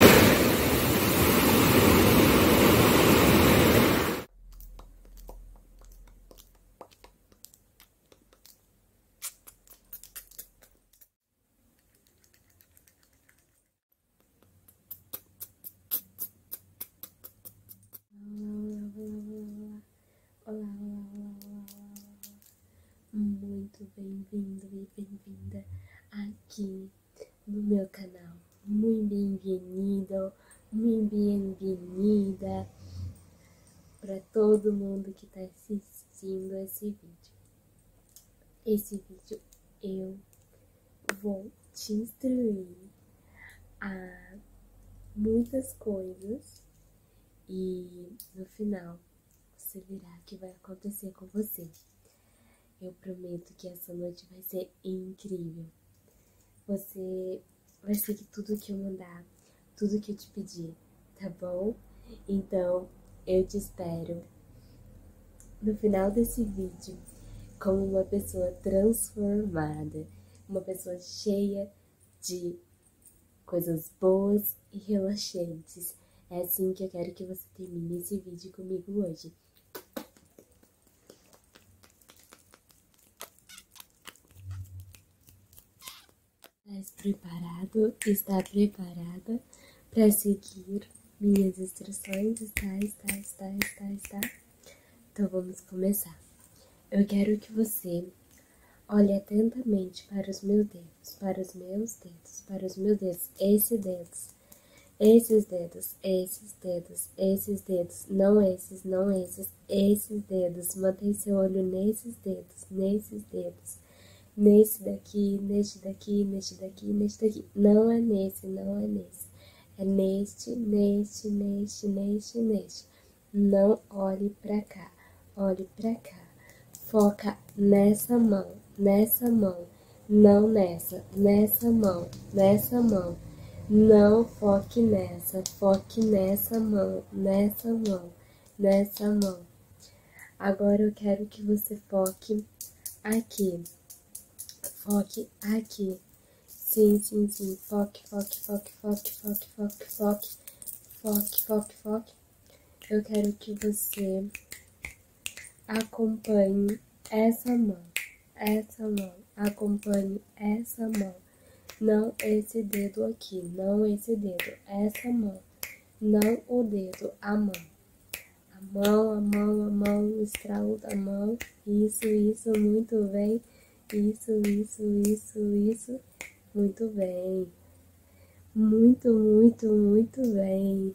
Olá, olá, olá, muito bem-vindo e bem-vinda aqui no meu canal. Muito bem-vindo, muito bem-vinda para todo mundo que está assistindo esse vídeo. Esse vídeo eu vou te instruir a muitas coisas e no final você verá o que vai acontecer com você. Eu prometo que essa noite vai ser incrível. Você vai seguir tudo que eu mandar, tudo que eu te pedir, tá bom? Então, eu te espero no final desse vídeo como uma pessoa transformada, uma pessoa cheia de coisas boas e relaxantes é assim que eu quero que você termine esse vídeo comigo hoje. Estás preparado? Está preparada para seguir minhas instruções? Está, está, está, está, está. Então vamos começar. Eu quero que você olhe atentamente para os meus dedos, para os meus dedos, para os meus dedos, esse dedos esses dedos, esses dedos, esses dedos, não esses, não esses, esses dedos. Mantém seu olho nesses dedos, nesses dedos. Nesse daqui, neste daqui, neste daqui, neste daqui. Não é nesse, não é nesse. É neste, neste, neste, neste, neste. Não olhe para cá, olhe para cá. Foca nessa mão, nessa mão não nessa, nessa mão, nessa mão. Não foque nessa, foque nessa mão, nessa mão, nessa mão. Agora eu quero que você foque aqui. Foque aqui. Sim, sim, sim. Foque, foque, foque, foque, foque, foque, foque. Foque, foque, Eu quero que você Acompanhe essa mão, essa mão, acompanhe essa mão. Não esse dedo aqui, não esse dedo, essa mão. Não o dedo, a mão. A mão, a mão, a mão, estralo da mão. Isso, isso, muito bem. Isso, isso, isso, isso. Muito bem. Muito, muito, muito bem.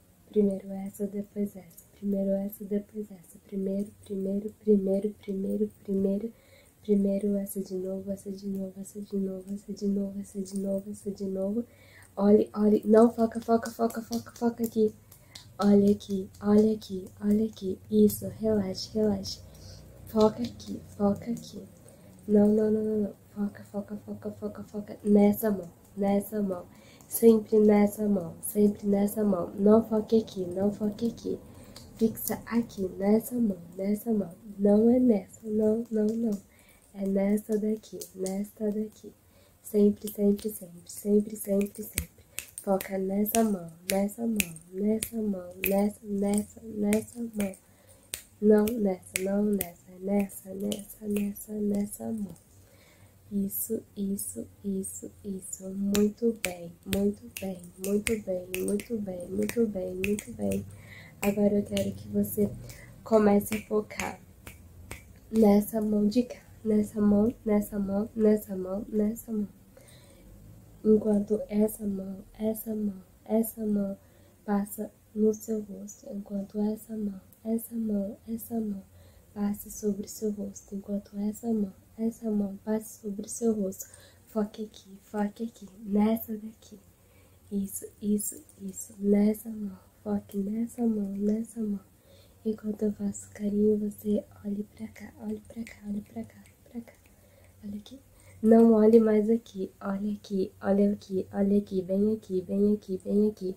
Primeiro essa, depois essa. Primeiro essa, depois essa. Primeiro, primeiro, primeiro, primeiro, primeiro. Primeiro essa de novo, essa de novo, essa de novo, essa de novo, essa de novo, essa de novo. Olhe, olhe. Não, foca, foca, foca, foca, foca aqui. Olha aqui, olha aqui, olha aqui. Isso, relaxe, relaxe. Foca aqui, foca aqui. Não, não, não, não, Foca, foca, foca, foca, foca nessa mão nessa mão, sempre nessa mão, sempre nessa mão. Não foque aqui, não foque aqui. Fixa aqui, nessa mão, nessa mão. Não é nessa, não, não, não. É nessa daqui, nessa daqui. Sempre, sempre, sempre, sempre, sempre, sempre. Foca nessa mão, nessa mão, nessa mão, nessa, nessa, nessa mão. Não nessa, não nessa, nessa, nessa, nessa, nessa mão. Isso, isso, isso, isso. Muito bem, muito bem, muito bem, muito bem, muito bem, muito bem. Agora eu quero que você comece a focar nessa mão de cá, nessa mão, nessa mão, nessa mão, nessa mão. Enquanto essa mão, essa mão, essa mão passa no seu rosto, enquanto essa mão essa mão, essa mão, passe sobre o seu rosto, enquanto essa mão, essa mão passe sobre o seu rosto. Foque aqui, foque aqui, nessa daqui. Isso, isso, isso, nessa mão, foque nessa mão, nessa mão. Enquanto eu faço carinho, você olhe pra cá, olhe pra cá, olhe pra cá, pra cá. Olha aqui. Não olhe mais aqui, olhe aqui, olhe aqui, olhe aqui, vem aqui, vem aqui, vem aqui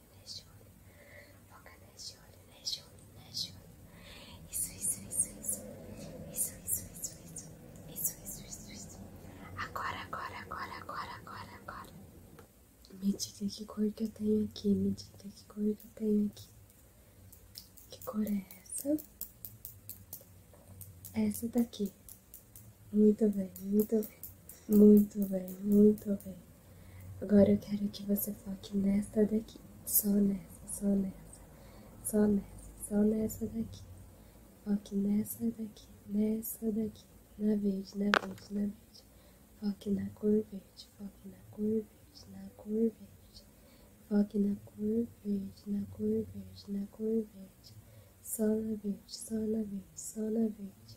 neste olho, foca neste olho, neste olho, neste olho. Isso, isso, isso, isso. Isso, isso, isso, isso. Isso, isso, isso, isso. Agora, agora, agora, agora, agora, agora. Me diga que cor que eu tenho aqui, me diga que cor que eu tenho aqui. Que cor é essa? Essa daqui. Muito bem, muito bem. Muito bem, muito bem. Agora eu quero que você foque nesta daqui. Só nessa, só nessa. Só nessa, só nessa daqui. Foque nessa daqui, nessa daqui. Na verde, na verde, na verde. Foque na cor verde, foque na cor verde, na cor verde. Foque na cor verde, na cor verde, na cor verde. Só na verde, só na verde, só na verde.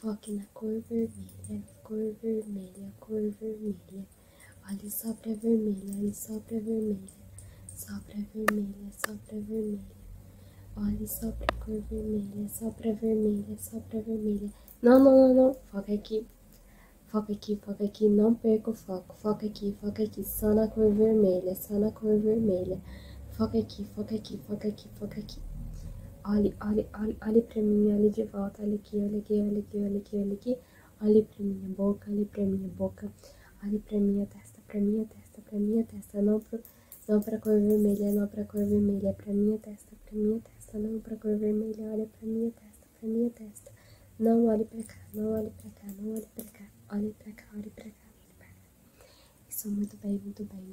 Foque na cor vermelha, cor vermelha, cor vermelha. Olhe só pra vermelha, olhe só pra vermelha. Só pra vermelha, só pra vermelha. Olhe só pra cor vermelha, só pra vermelha, só pra vermelha. Não, não, não, não. Foca aqui. Foca aqui, foca aqui. Não perca o foco. Foca aqui, foca aqui. Só na cor vermelha, só na cor vermelha. Foca aqui, foca aqui, foca aqui aqui, foca aqui. Olhe, olhe, olhe, olhe pra mim, olhe de volta, olhe aqui, olhe aqui, olhe aqui, olhe aqui, olhe aqui. Olhe pra minha boca, olhe pra minha boca. Olhe pra minha testa, pra minha testa, pra minha testa. Não, pro, não pra cor vermelha, não pra cor vermelha. Pra minha testa, pra minha testa, não pra cor vermelha. Olha pra minha testa, pra minha testa. Não olhe pra cá, não olhe pra cá, não olhe pra cá. Olhe pra cá, olhe pra cá, olhe pra cá. Isso, muito bem, muito bem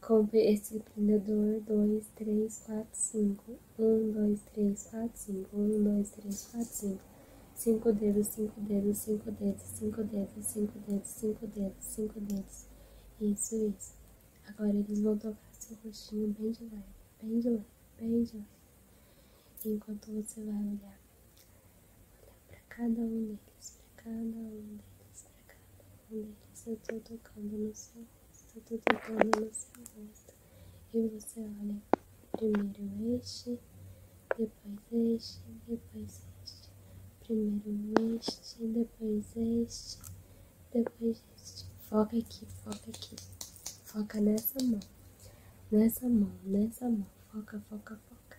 Compre esse empreendedor 2, 3, 4, 5. 1, 2, 3, 4, 5. 1, 2, 3, 4, 5. 5 dedos, 5 dedos, 5 dedos, 5 dedos, 5 dedos, 5 dedos, 5 dedos. Isso, isso. Agora eles vão tocar seu rostinho bem de leve, bem de leve, bem de leve. Enquanto você vai olhar, olhar para cada um deles para cada um deles, para cada um deles. Eu tô tocando no seu rosto, eu tô tocando no seu rosto. E você olha primeiro este, depois este, depois este. Primeiro este, depois este, depois este. Foca aqui, foca aqui. Foca nessa mão, nessa mão, nessa mão. Foca, foca, foca.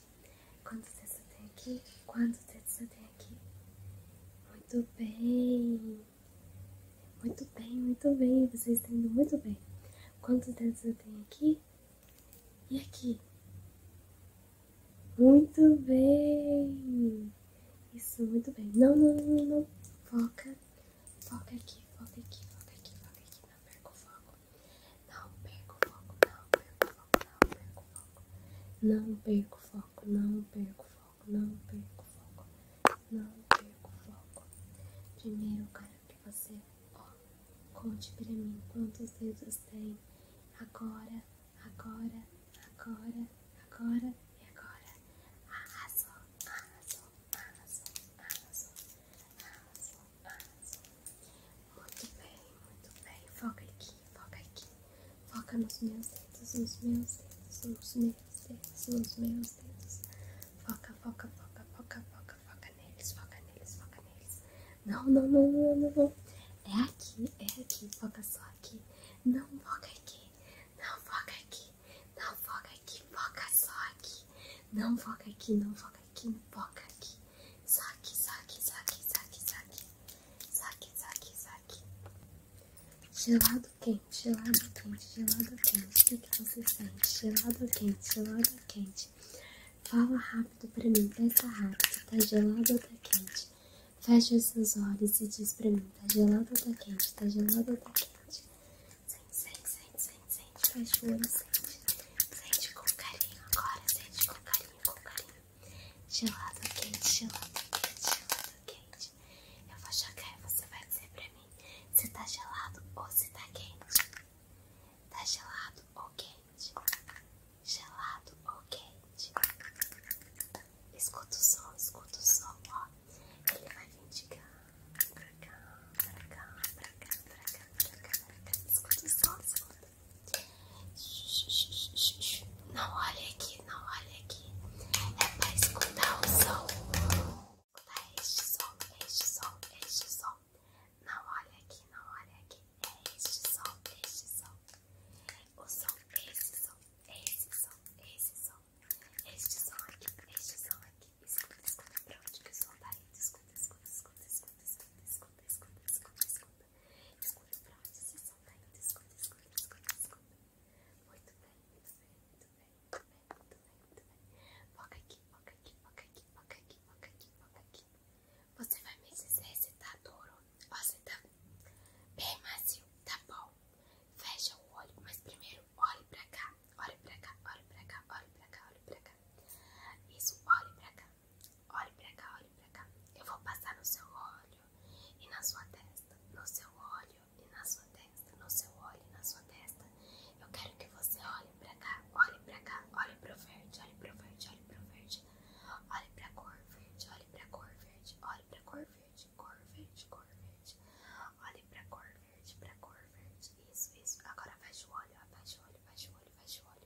Quantos dedos eu tenho aqui? Quantos dedos eu tenho aqui? Muito bem. Muito bem, muito bem. Vocês estão indo muito bem. Quantos dedos eu tenho aqui? E aqui? Muito bem. Isso, muito bem. Não, não, não, não. Foca. Foca aqui, foca aqui, foca aqui, foca aqui. Não perca o foco. Não perco o foco, não perco o foco, não perco o foco. Não perco o foco, não perco o foco, não perco o foco. Não perco foco. Primeiro eu quero que você, conte pra mim quantos dedos tem. Agora, agora, agora, agora e agora. Arrasou, arrasou, arrasou, arrasou, arrasou. Muito bem, muito bem. Foca aqui, foca aqui. Foca nos meus dedos, nos meus dedos, nos meus dedos, nos meus dedos. Foca, foca, foca, foca, foca, foca neles, foca neles, foca neles. Não, não, não, não, não, não. É aqui, é aqui, foca só aqui. Não foca aqui, não foca aqui, não foca aqui, foca só aqui. Não foca aqui, não foca emboca aqui, emboca aqui. Saque, saque, saque, saque, saque. Saque, saque, saque. Gelado quente, gelado quente, gelado quente. O que você sente? Gelado quente, gelado quente. Fala rápido pra mim, pensa rápido. Tá gelado ou tá quente? Fecha os seus olhos e diz pra mim: tá gelado ou tá quente? Tá gelado ou tá quente? Sente, sente, sente, sente, sente, fecha o sente. com carinho agora, sente com carinho, com carinho. Gelado quente, gelado quente, gelado quente. Eu vou jogar e você vai dizer pra mim se tá gelado ou se tá quente. Tá gelado ou quente? Gelado ou quente? Escuta o som, escuta o som, ó. Ele vai vir de cá, pra cá, pra cá, pra cá, pra cá, pra cá, pra cá. Escuta o som, não olha aqui, não olha aqui. É pra escutar o som. Escutar este som, este som, este som. Não olha aqui, não olha aqui. É este som, este som. O som, este som, esse som, esse som. Este som aqui, este som aqui. Escuta, escuta pra onde que o som tá indo. Escuta, escuta, escuta, escuta, escuta. escuta escuta, escuta, escuta, escuta. Escuta pra onde esse som tá indo, escuta, Muito bem, muito bem, muito bem, muito bem, muito aqui, foca aqui, foca aqui, foca aqui, foca aqui, foca aqui. Você vai me dizer se tá duro ou se tá bem macio, tá bom? Fecha o olho, mas primeiro olhe pra cá, olhe pra cá, olhe pra cá, olhe pra cá, olhe pra cá. Isso, olhe pra cá olhe pra cá, olhe pra cá. Eu vou passar no seu olho e na sua testa, no seu olho e na sua testa, no seu olho e na sua testa. Eu quero que você olhe pra cá, olhe pra cá, olhe pro verde, olhe pro verde, olhe pro verde. Olhe pra cor verde, olhe pra cor verde, olhe pra cor verde, cor verde, cor verde. Olhe pra cor verde, pra cor verde. Isso, isso. Agora fecha o olho, fecha o olho, fecha o olho, fecha o olho.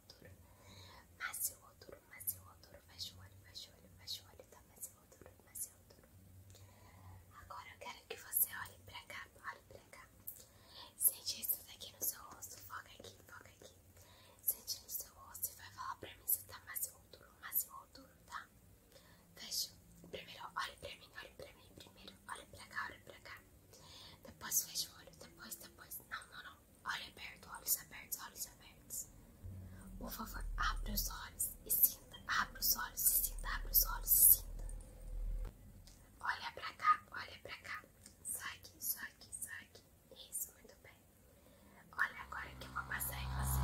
eu odoro. Mas eu odoro, mas Fecha o olho, fecha o olho, fecha o olho, tá? Mas eu odoro, mas eu odoro. Agora eu quero que você olhe pra cá, olhe pra cá. Sente isso daqui no seu rosto, foca aqui, foca aqui. Sente no seu rosto e vai falar pra mim se tá mais eu odoro, mas eu odoro, tá? Fecha. Primeiro olhe pra mim, olhe pra mim. Primeiro olhe pra cá, olhe pra cá. Depois fecha o olho, depois, depois. Não, não, não. Olha aberto, olhos abertos, olhos abertos. Por favor, abre os olhos e sinta. Abre os olhos e sinta. Abre os olhos e sinta. Olha pra cá, olha pra cá. Sai aqui, sai aqui, sai aqui. Isso, muito bem. Olha agora que eu vou passar em você.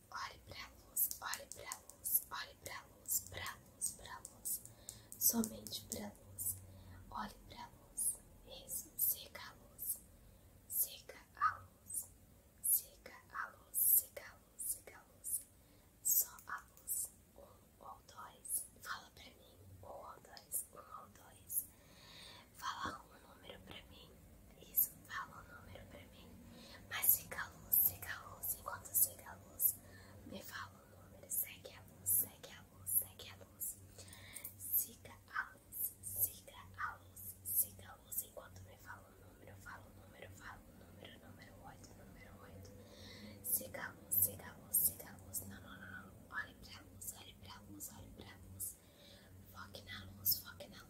Olhe pra luz, olhe pra luz, olhe pra luz, pra luz, pra luz. Somente pra luz. Olhe pra luz. Isso, seca a luz. Seca a luz. Seca a luz, seca a luz, seca a luz. Só a luz. Um ou dois. Fala pra mim. Um ou dois, um ou dois. Fala um número pra mim. Isso, fala o número para mim. Mas fica a luz, siga a luz. Enquanto siga a luz, me fala o número. Segue a luz, segue a luz, segue a luz. Siga a luz, siga a luz, siga a luz. Enquanto me fala o número, fala o número, fala o número, número oito número oito Siga a luz, siga a luz, siga a luz. Não, não, não, não. Olhe pra luz, olhe pra luz, olhe pra luz. Foque na luz, foque na luz.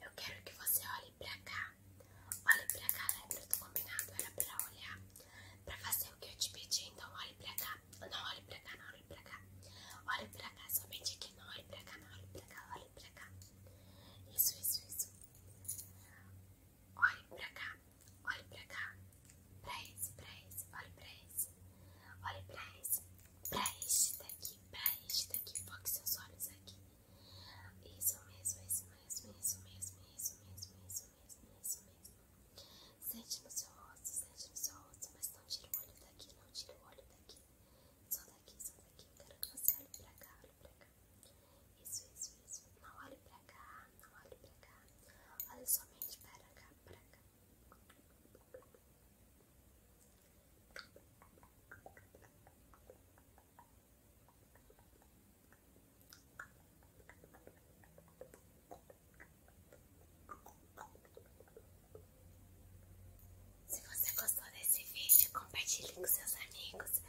Eu quero que você olhe pra cá. tá? Olha pra cá, lembra do combinado? Era pra olhar, pra fazer o que eu te pedi. Então, olhe pra cá. Não, olhe pra cá, não, olhe pra cá. Olhe pra cá, somente aqui. Não, olhe pra cá, não, olhe pra cá, olhe pra cá. Isso, isso, isso. Olhe pra cá, olhe pra cá. Pra esse, pra esse, olhe pra esse. Olhe pra esse. Pra este daqui, pra este daqui. Foque seus olhos aqui. Isso mesmo, isso mesmo, isso mesmo, isso mesmo, isso mesmo isso mesmo, isso mesmo. Sente no seu rosto, sente no seu rosto, mas não tira o olho daqui, não tira o olho daqui. Só daqui, só daqui. Quero que você olhe pra cá, olhe pra cá. Isso, isso, isso. Não olhe pra cá, não olhe pra cá. Olhe somente para cá, pra cá. Se você gostou desse vídeo, compartilhe com seus amigos.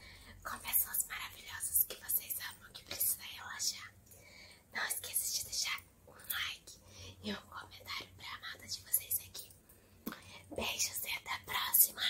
Com pessoas maravilhosas que vocês amam, que precisam relaxar. Não esqueça de deixar um like e um comentário para a amada de vocês aqui. Beijos e até a próxima!